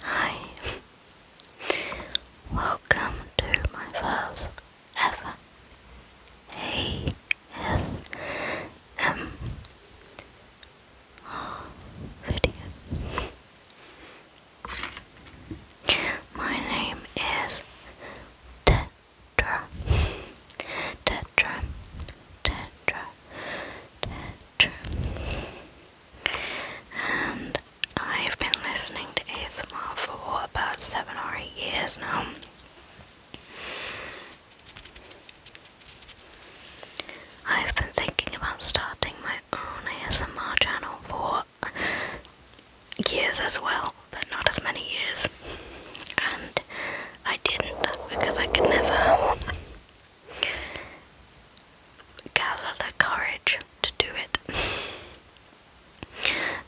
Hi, welcome to my first ever ASMR video. My name is Tetra. Tetra. Tetra. Tetra. And I've been listening to ASMR for about seven or eight years now. I've been thinking about starting my own ASMR channel for years as well, but not as many years. And I didn't because I could never gather the courage to do it.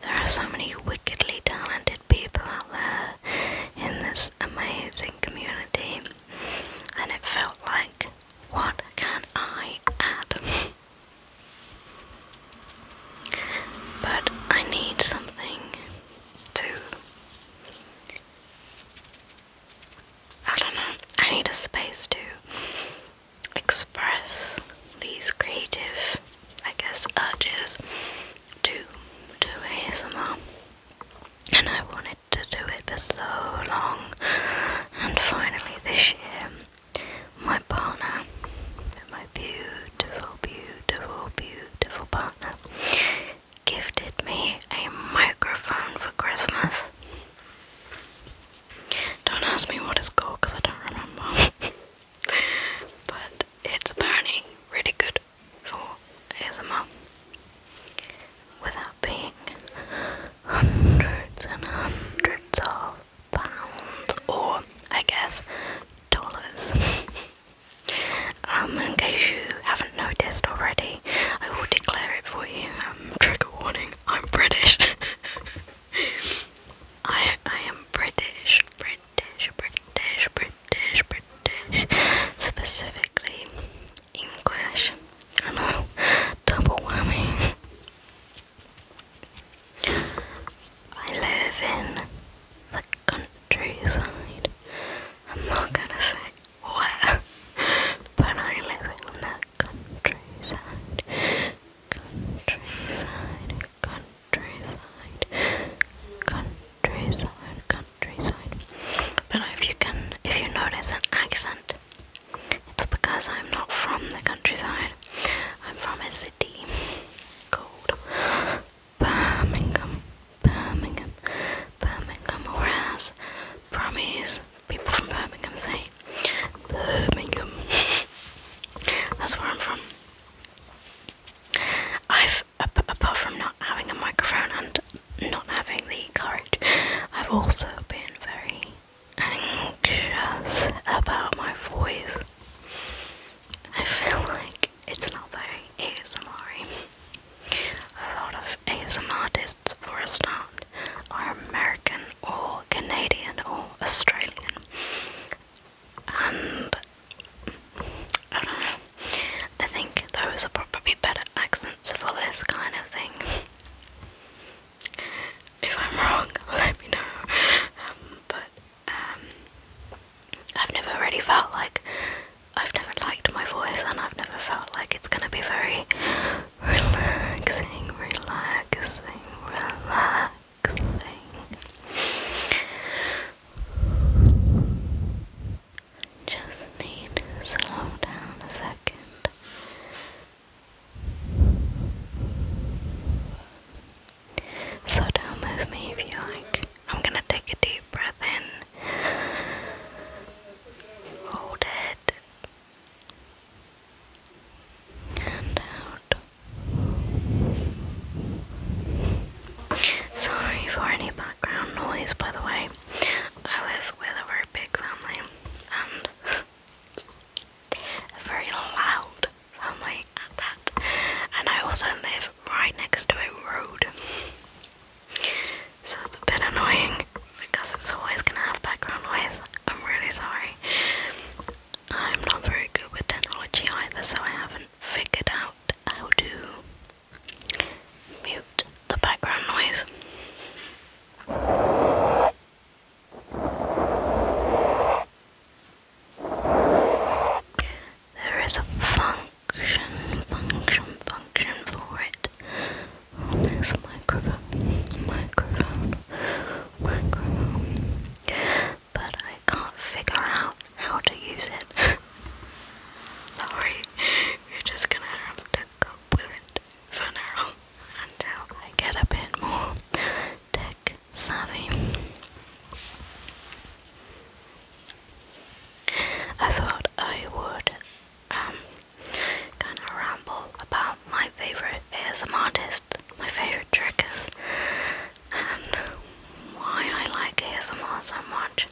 There are so many wickedly talented people out there in this amazing community, and it felt like, what can I add? but I need something to. I don't know, I need a space to express these creative, I guess, urges to do his mom and I wanted to do it for so long. And finally, this year, my partner, my beautiful, beautiful, beautiful partner, gifted me a microphone for Christmas. Don't ask me what it's called because I don't remember. but it's apparently really good for ASMR without being hundreds and hundreds of pounds or I guess dollars. Um, in case you haven't noticed already, I will declare it for you. Um, trigger warning, I'm British. I I am British, British. British, British, British, British, specifically English. I know, double whammy. I live in the countryside. I'm not gonna say where, but I live in the countryside. Countryside, countryside, countryside, countryside countryside. But if you can, if you notice an accent, it's because I'm not from the countryside. I'm from a city called Birmingham, Birmingham, Birmingham. Whereas Brummies, people from Birmingham say Birmingham. That's where I'm from. I've apart from not having a microphone and not having the courage, I've also been very anxious about my voice. I feel like it's not very ASMR. A lot of ASMR artists, for a start, are American or Canadian or Australian and I don't know. I think those are probably better accents for this kind of thing. If I'm wrong, let me know. Um, but um, I've never really felt like I've never liked my voice, and I've never felt like it's gonna be very relaxing, relaxing, relaxing. Just need to slow down a second. So don't me if you like. I'm gonna take a deep breath in. Hold it. And out. Sorry for any background noise, by the way. I live with a very big family and a very loud family at that. And I also live right next to a road. So it's a bit annoying because it's always gonna have background noise. I'm really sorry. I'm not very good with technology either, so I have not figured out how to mute the background noise. There is a function, function, function for it on this microphone, microphone, microphone but I can't figure out how to use it. Sorry, you're just gonna have to cope with it for now until I get a bit more tech savvy. I thought I would um, kind of ramble about my favorite ASM my favorite trick is and why I like ASMR so much.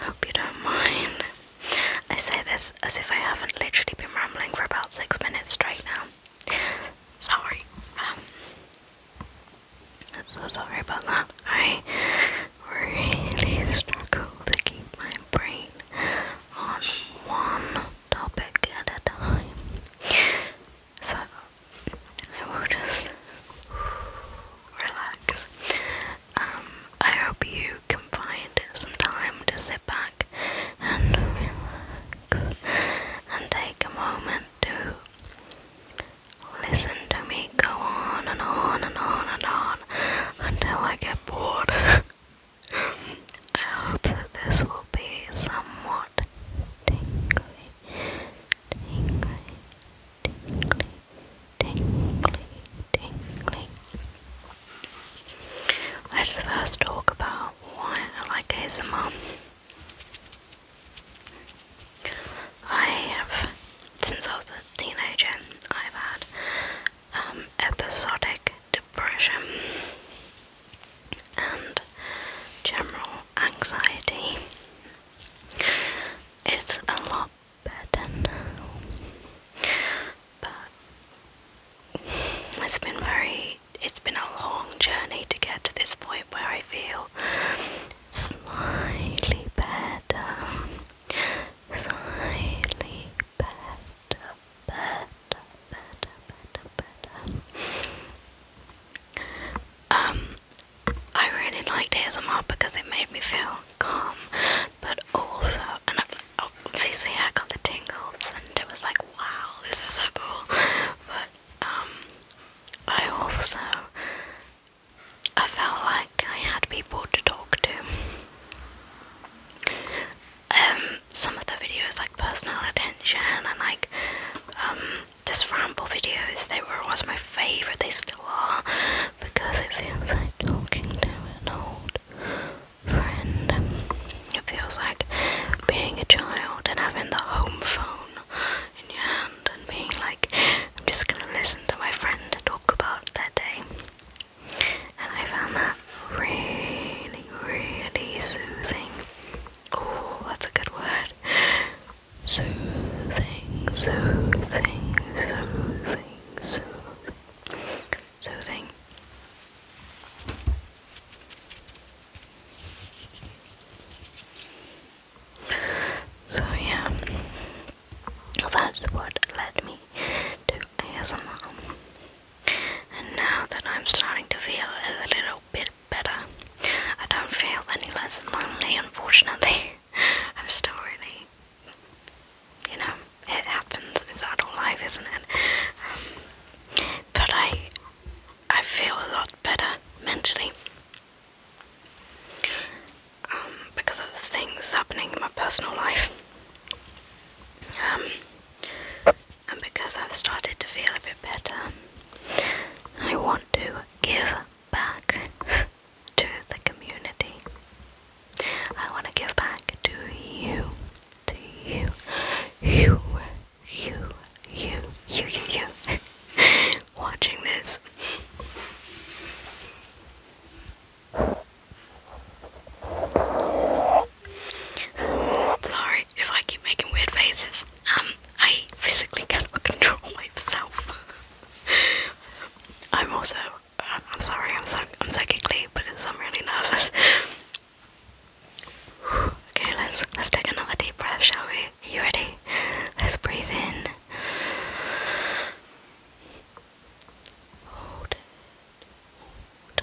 Hope you don't mind. I say this as if I haven't literally been rambling for about six minutes straight now. Sorry. Um, so sorry about that. I really struggle to keep my brain on one topic at a time. So I will just relax. Um, I hope you can find some time to sit back and relax and take a moment to listen to me go on and on and on and on until I get bored. I hope that this will be somewhat tingly, tingly, Let's first talk about why I like ASMR. I have, since I was a teenager, I've had um, episodic depression and general anxiety. It's a lot better but it's been very, it's been a long journey to get to this point where I feel slightly better, slightly better, better, better, better, better. Um, I really liked ASMR because it made me feel calm, but also, and obviously I got the tingles and it was like, wow, this is so cool, but um, I also, I felt like I had people to talk to. Um, some of the videos like personal attention and like just um, ramble videos, they were always my favourite, they still are, because it feels like talking to an old friend. It feels like being a child and having the home phone in your hand and being like, I'm just gonna listen to my friend talk about their day. And I found that really, really soothing. Oh, that's a good word. Soothing, soothing, soothing, soothing, soothing. So yeah, that's what led me to ASMR. And now that I'm starting to feel a little bit better, I don't feel any less lonely, unfortunately. I'm still really, you know, it happens. It's adult life, isn't it? Um, but I, I feel a lot better mentally um, because of the things happening in my personal life. Um, and because I've started to feel a bit better, I want to give back to the community. I want to give back to you, to you, you, you, you, you, you, you, watching this. Sorry if I keep making weird faces. Um, I physically cannot control myself. I'm also, uh, I'm sorry, I'm so, I'm so giggly, but it's, I'm really nervous. okay, let's let's take another deep breath, shall we? Are you ready? Let's breathe in. Hold it. Hold it.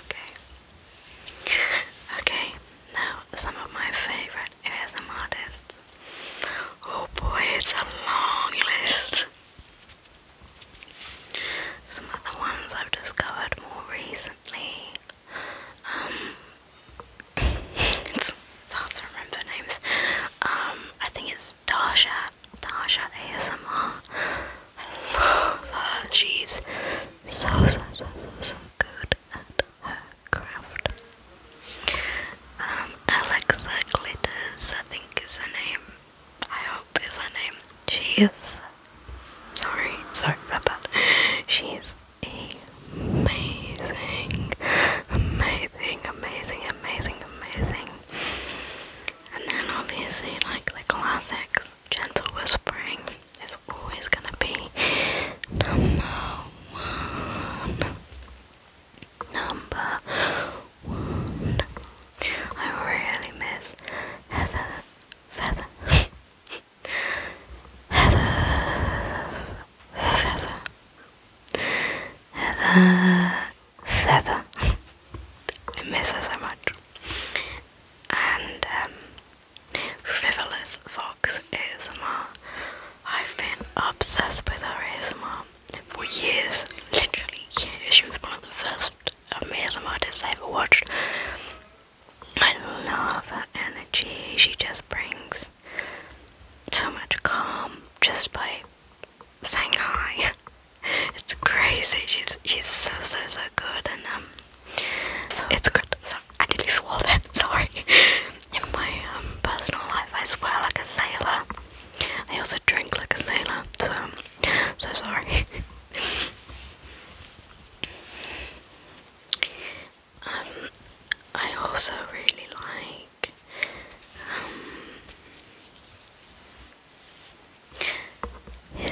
Okay. Okay, now some of my favorite ASM artists. Oh boy, it's a long list. Some of the ones I've discovered more recently. Um, it's, hard to remember names. Um, I think it's Dasha. Dasha ASMR. I love her. She's so so so so good at her craft. Um, Alexa Glitters, I think is her name. I hope is her name. She is. Sorry, sorry about that. She is a amazing, amazing, amazing, amazing, amazing. And then obviously, like the classics, gentle whispering is always gonna be number one. Number one. I really miss Heather Feather. Heather Feather. Heather Feather. I miss her so much. And um, Frivolous Fox ASMR. I've been obsessed with her ASMR for years, literally She was one of the first amazing artists I ever watched. I love her energy, she just brings so much calm just by saying hi. It's crazy. She's she's so so so good and um so it's good. So I nearly swore that, sorry. In my um personal life I swear like a sailor. I also drink like a sailor, so so sorry. Um, I also really like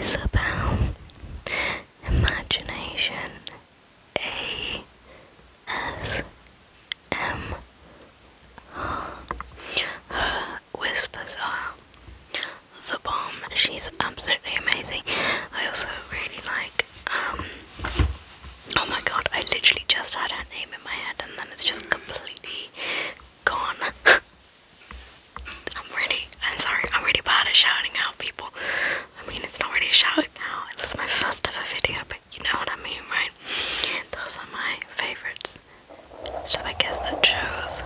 um, imagination. A S M her whispers are the bomb. She's absolutely amazing. I also really like um, oh my god, I literally just had her name in my head and then it's just completely gone. I'm really, I'm sorry, I'm really bad at shouting out people. I mean, it's not really a shout This is my first ever video, but you know what I mean, right? Those are my favorites. So I guess that shows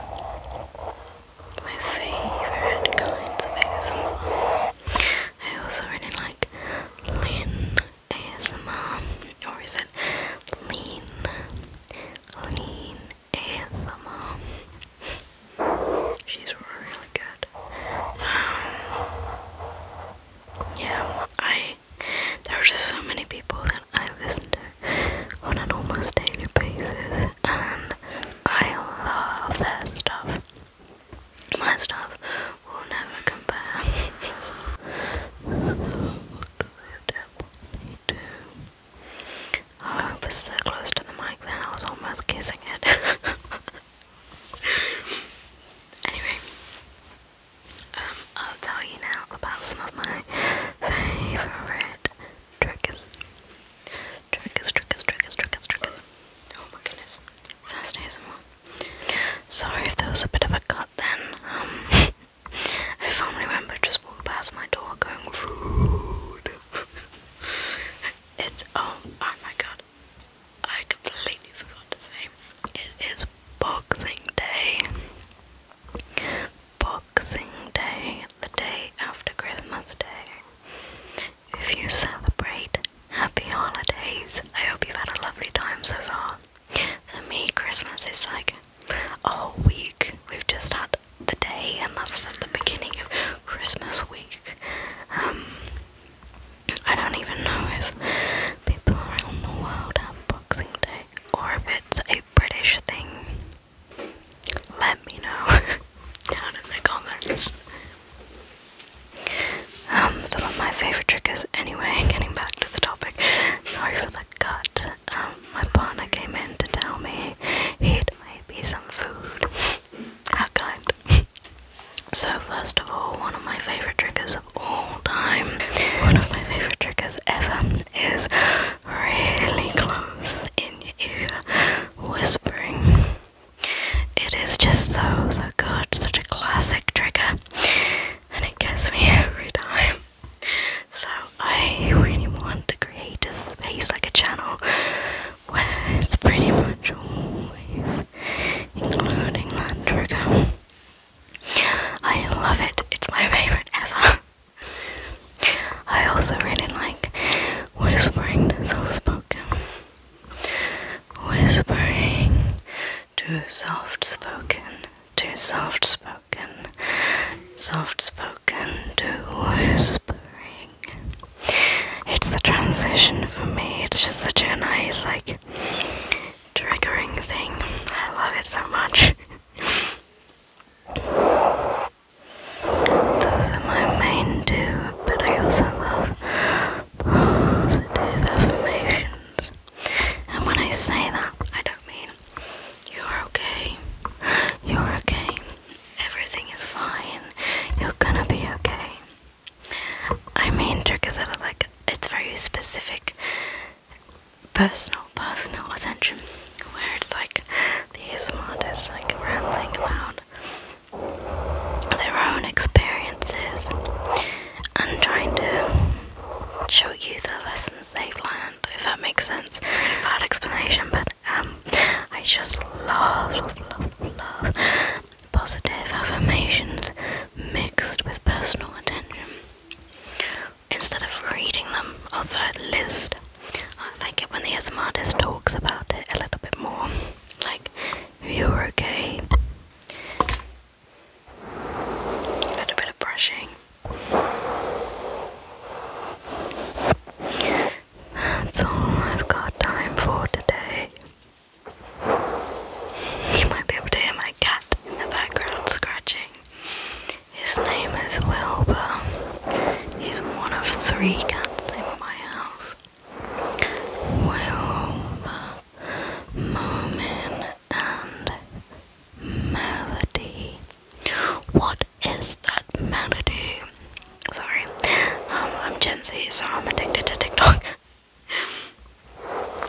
my favorite kinds of ASMR. I also really like Lynn ASMR, or is it Lean? Lean ASMR. She's really good. Um, yeah, I. There are just so many people that I listen to on an almost daily basis, and I love their stuff. My stuff will never compare. I was so close to the mic then I was almost kissing it. anyway, um, I'll tell you now about some of my favorite triggers. Triggers, triggers, triggers, triggers, Oh my goodness. First ASMR. Sorry if there was a bit of a cut then. Um, a family member just walked past my door going, Food! it's, oh, oh my god. I completely forgot to say. It is Boxing Day. Boxing Day, the day after Christmas Day if you celebrate, happy holidays. I hope you've had a lovely time so far. For me, Christmas is like a whole week. We've just had the day, and that's just the beginning of Christmas week. Um, I don't even know if people around the world have Boxing Day or if it's a British thing. Let me know down in the comments. Um, some of my favorite triggers, anyway, getting back to the topic. Sorry for the cut. Um, my partner came in to tell me he'd made me some food. How kind. so, first of all, one of my favorite triggers of all time, one of my favorite triggers ever, is really close in your ear whispering. It is just so, so good, such a classic trigger, and it gets me every time. So, I really want to create a space like a channel where it's pretty much always including that trigger. I love it, it's my favourite ever. I also really like whispering to self spoken. Whispering, too soft spoken, too soft spoken, soft spoken, too whispering. It's the transition for me, it's just such a nice, like, triggering thing. I love it so much. Those are my main two, but I also love positive affirmations. And when I say that, I don't mean you're okay, you're okay, everything is fine, you're gonna be okay. I mean triggers that like it's very specific personal, personal attention where it's like the ASMR artists like rambling about their own experiences and trying to show you the lessons they've learned, if that makes sense. Bad explanation, but um, I just love, love, love, love positive affirmations mixed with personal attention. Instead of reading them off a list, I like it when the ASMR talks about it a little bit more like you're okay. A little bit of brushing. That's all I've got time for today. You might be able to hear my cat in the background scratching. His name is Wilbur. He's one of three cats in my house. Wilma, Moomin, and Melody. What is that melody? Sorry, I'm Gen Z, so I'm addicted to TikTok.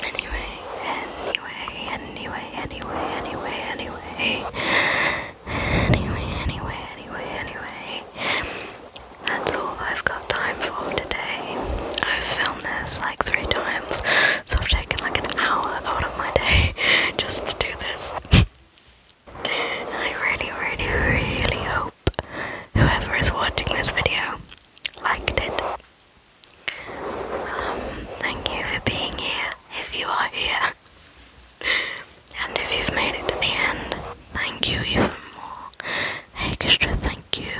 anyway, anyway, anyway, anyway, anyway, anyway, anyway, anyway, anyway, anyway. That's all I've got time for today. I've filmed this like three times, so I've taken like an hour out of my day just to do this. I really, really, really hope whoever is watching this video liked it. Um, thank you for being here if you are here. and if you've made it to the end, thank you even more. Extra thank you.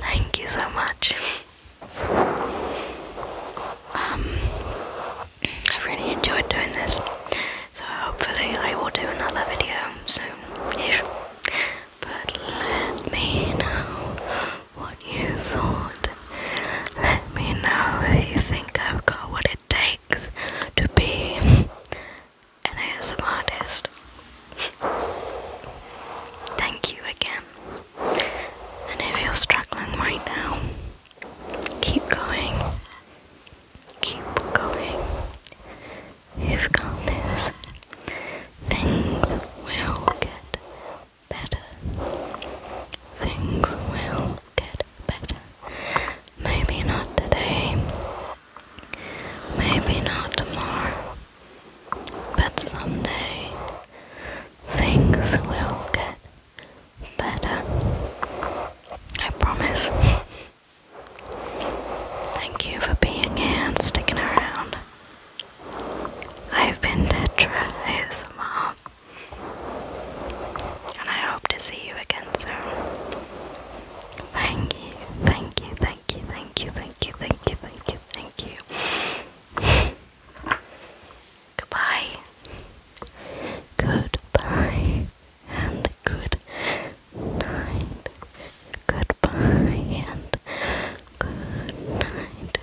Thank you so much. Um, I've really enjoyed doing this, so hopefully I will do another video soon-ish. But let me know what you thought let me know if you think I've got what it takes to be an ASM artist. Thank you again. And if you're struggling right now, keep going. Keep going. You've got this. Things will get better. Things will get better. Maybe not today. Maybe not tomorrow. But someday things will get better. I promise. Thank you for being here sticking around. I've been Tetra ASMR. And I hope to see you again soon. Thank you, thank you, thank you, thank you, thank you, thank you, thank you, thank you. Goodbye. Goodbye. And good night. Goodbye and good night.